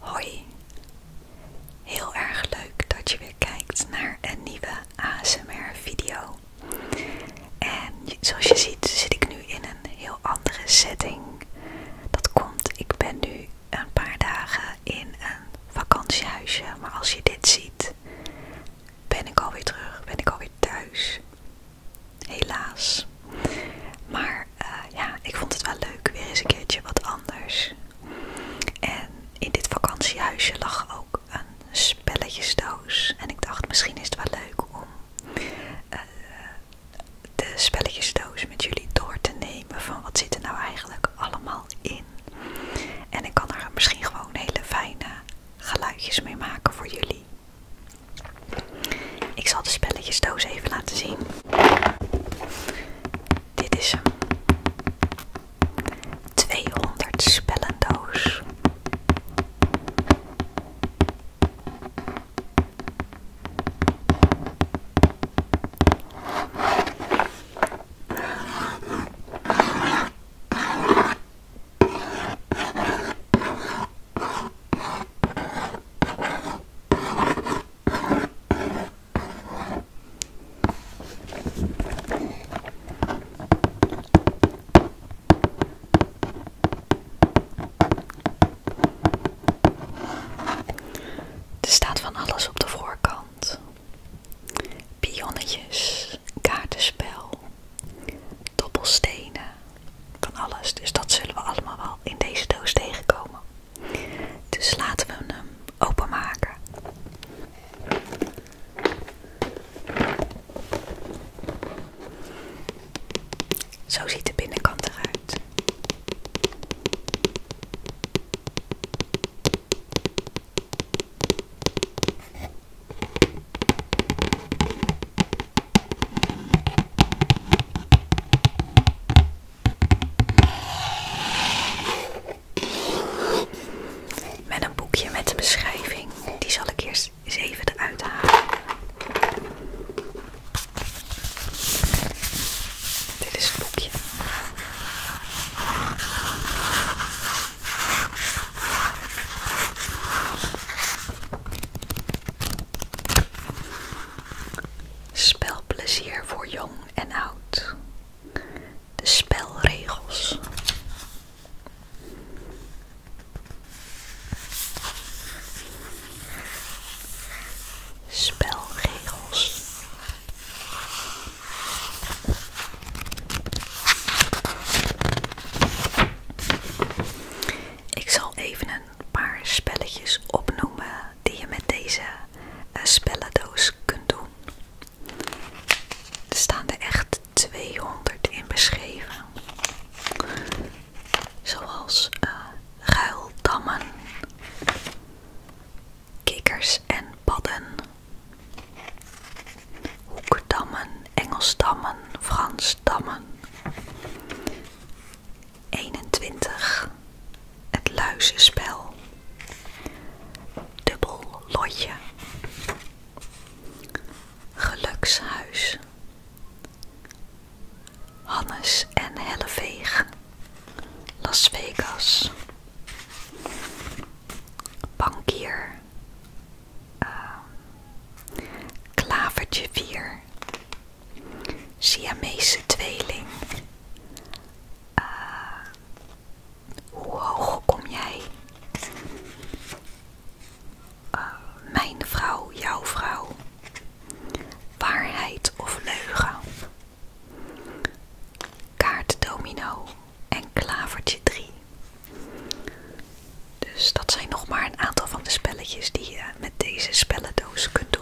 Hoi, heel erg leuk dat je weer kijkt naar een nieuwe ASMR video. En zoals je ziet zit ik nu in een heel andere setting. Dat komt, ik ben nu een paar dagen in een vakantiehuisje, maar als je dit ziet ben ik alweer terug, ben ik alweer thuis. Helaas. Maar eh, ja, ik vond het wel leuk. Weer eens een keertje wat anders. En in dit vakantiehuisje lag ook een spelletjesdoos. En ik dacht, misschien is het wel leuk om eh, de spelletjesdoos met jullie door te nemen. Van wat zit er nou eigenlijk allemaal in. En ik kan er misschien gewoon hele fijne geluidjes mee maken voor jullie. Ik zal de spelletjesdoos even laten zien. Dit is hem. 200 spellendoos. Er staat van alles op de voorkant: pionnetjes, kaartenspel, dobbelstenen, van alles. Dus dat zullen we allemaal wel in deze doos tegenkomen. Dus laten we hem ehm, openmaken. Zo ziet de binnenkant eruit. Met een boekje met een beschrijving. Die zal ik eerst even eruit halen. Dit is het boekje. Spelplezier voor jong en oud. De spelregels. Spelregels. Ik zal even een paar spelletjes opnoemen die je met deze spelendoos eh, spellendoos kunt doen. Er staan er echt 200 in beschreven. Zoals eh, ruildammen, kikkers en padden, hoekdammen, Engelsdammen, Fransdammen, 21. Het luizenspel. Dubbel lotje. Gelukshuis. Hannes en Helleveeg. Las Vegas. Bankier. Ehm, klavertje vier, Siamese tweeling. Ehm, hoe hoog kom jij? Ehm, mijn vrouw, jouw vrouw. Waarheid of leugen? kaartdomino en klavertje 3. Dus dat zijn nog maar een aantal van de spelletjes die je met deze spelendoos kunt doen.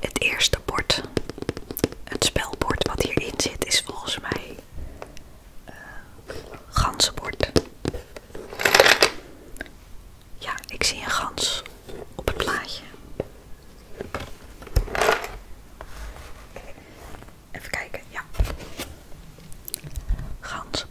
Het eerste bord, het spelbord wat hierin zit, is volgens mij ganse eh, ganzenbord. Ja, ik zie een gans op het plaatje. Even kijken, ja. Ganzenbord.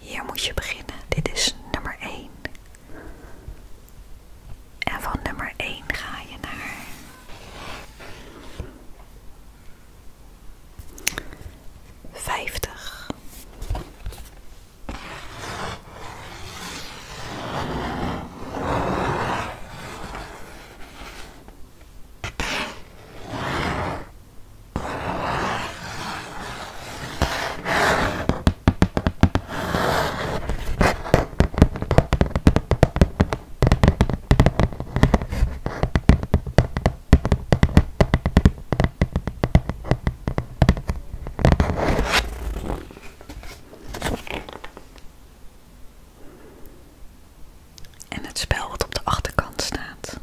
Hier moet je beginnen. Dit is nummer 1. En van nummer 1 ga je naar vijftig. En het spel wat op de achterkant staat.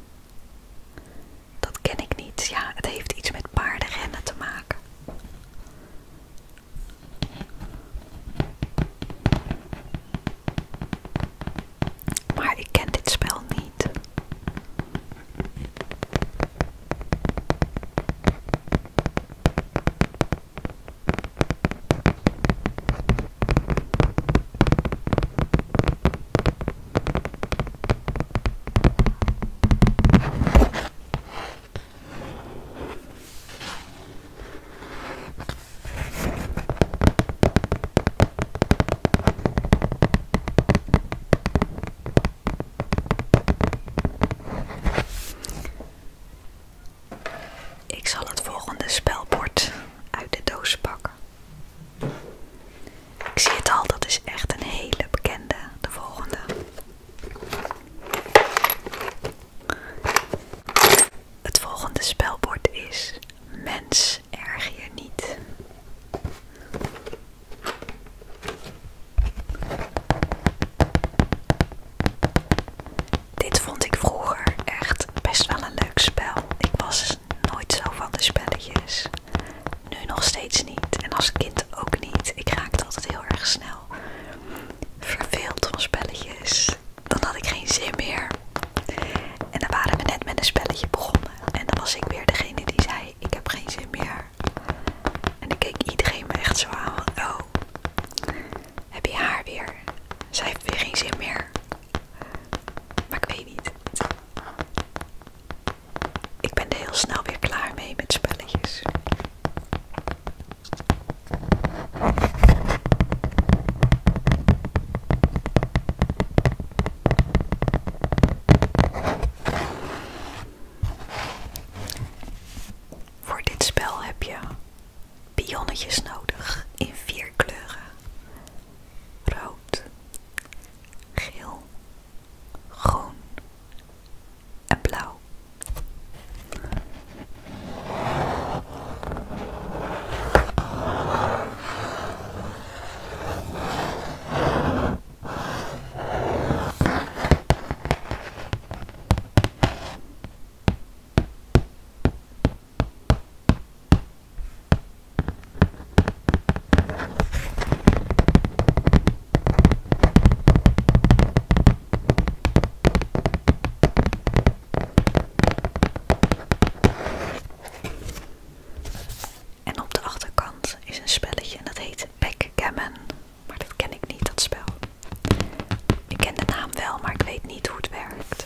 Dat ken ik niet. Ja, het heeft iets met paardenrennen te maken. Maar ik ken dit spel niet. Ik zal het volgende spelbord uit de doos pakken. Ik zie het al, dat is echt een hele bekende, de volgende. Het volgende spelbord is mens erg je niet. Dit vond ik vroeger echt best wel een leuk spel. Ik was nooit zo van de spelletjes. Nu nog steeds niet. En als kind ook niet. Ik raakte altijd heel erg snel verveeld van spelletjes. Dan had ik geen zin meer. En dan waren we net met een spelletje begonnen. En dan was ik weer degene die zei: Ik heb geen zin meer. En dan keek iedereen me echt zo aan: Oh, heb je haar weer? Zij heeft weer geen zin meer. Maar ik weet niet. Ik ben er heel snel weer klaar mee met spelletjes. Voor dit spel heb je pionnetjes nodig in vier kleuren: rood, geel, groen en blauw. En op de achterkant is een spelletje en dat heet Backgammon. Maar dat ken ik niet, dat spel. Ik ken de naam wel, maar ik weet niet hoe het werkt.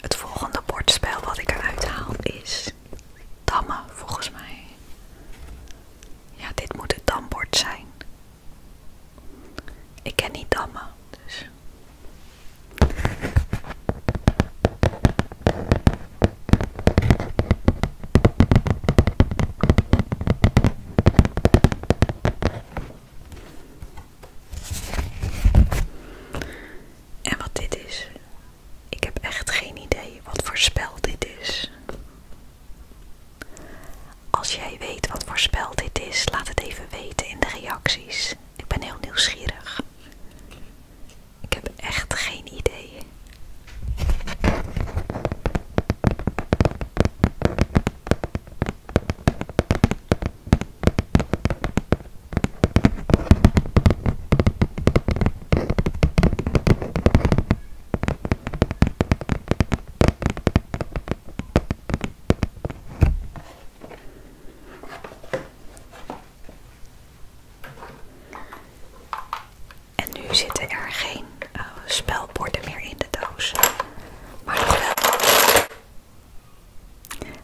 Het volgende bordspel wat ik er uithaal is dammen volgens mij. Ja, dit moet het dambord zijn. Ik ken niet dammen, dus. En wat dit is, ik heb echt geen idee wat voor spel dit is. Als jij weet wat voor spel dit is, laat het even weten in de reacties. Ik ben heel nieuwsgierig. Ik heb echt geen idee. En nu zitten er geen eh, spelborden meer in de doos.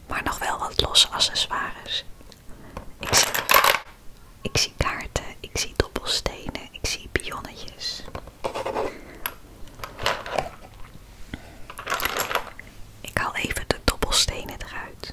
Maar nog wel, wat losse accessoires. Ik zie, ik zie kaarten, ik zie dobbelstenen, ik zie pionnetjes. Ik haal even de dobbelstenen eruit.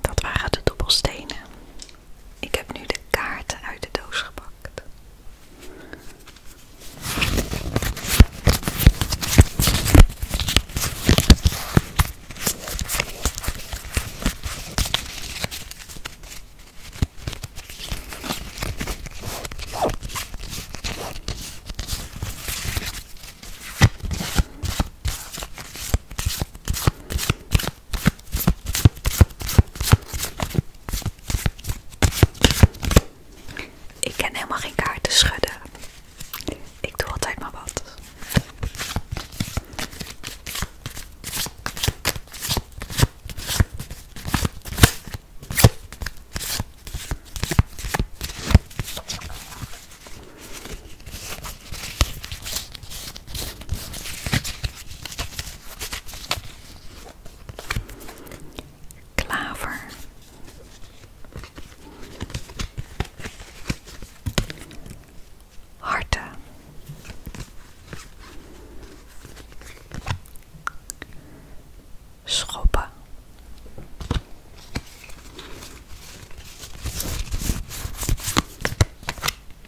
Dat waren de dobbelstenen. Ik heb nu de kaarten uit de doos gepakt. Ik ken helemaal geen kaarten schudden. Ik doe altijd maar wat. Klaver. Harten. Schoppen.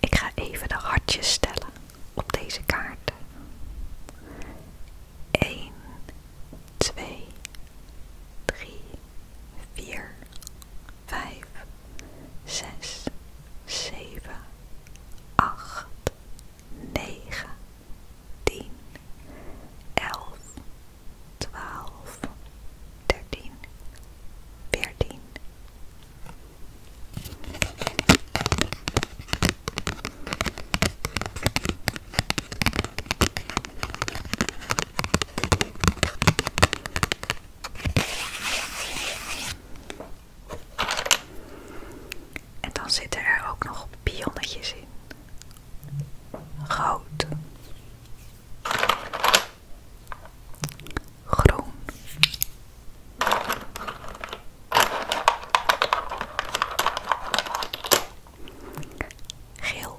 Ik ga even de hartjes stellen op deze kaarten. 1, 2, 3, 4, vijf, zes, zeven, acht, negen, tien, elf, twaalf, dertien, veertien. En dan zitten er ook nog pionnetjes in. Rood. Groen. Geel.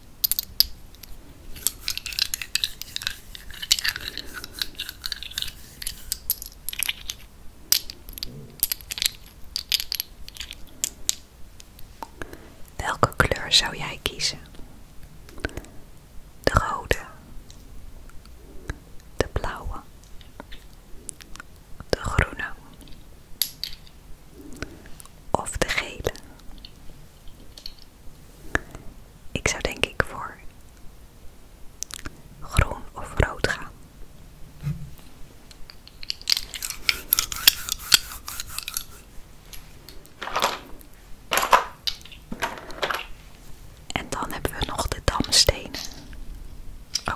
Welke kleur zou jij kiezen? De rode, de blauwe, de groene of de gele? Ik zou denk ik voor groen of rood gaan. En dan hebben we nog de damstenen. Oh.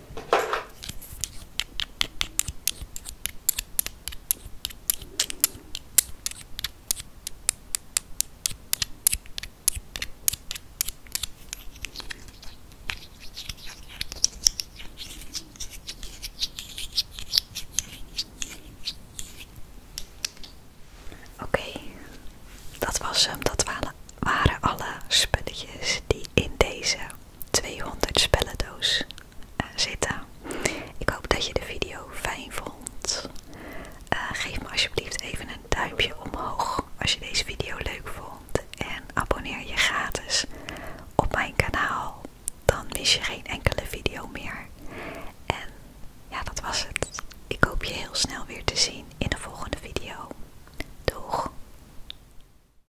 Oké, dat was hem. Dat waren alle spulletjes die in deze 200 spellendoos eh, zitten. Ik hoop dat je de video fijn vond. Eh, geef me alsjeblieft even een duimpje omhoog als je deze video leuk vond. En abonneer je gratis op mijn kanaal. Dan mis je geen enkele video meer. En ja, dat was het. Ik hoop je heel snel weer te zien in de volgende video. Doeg!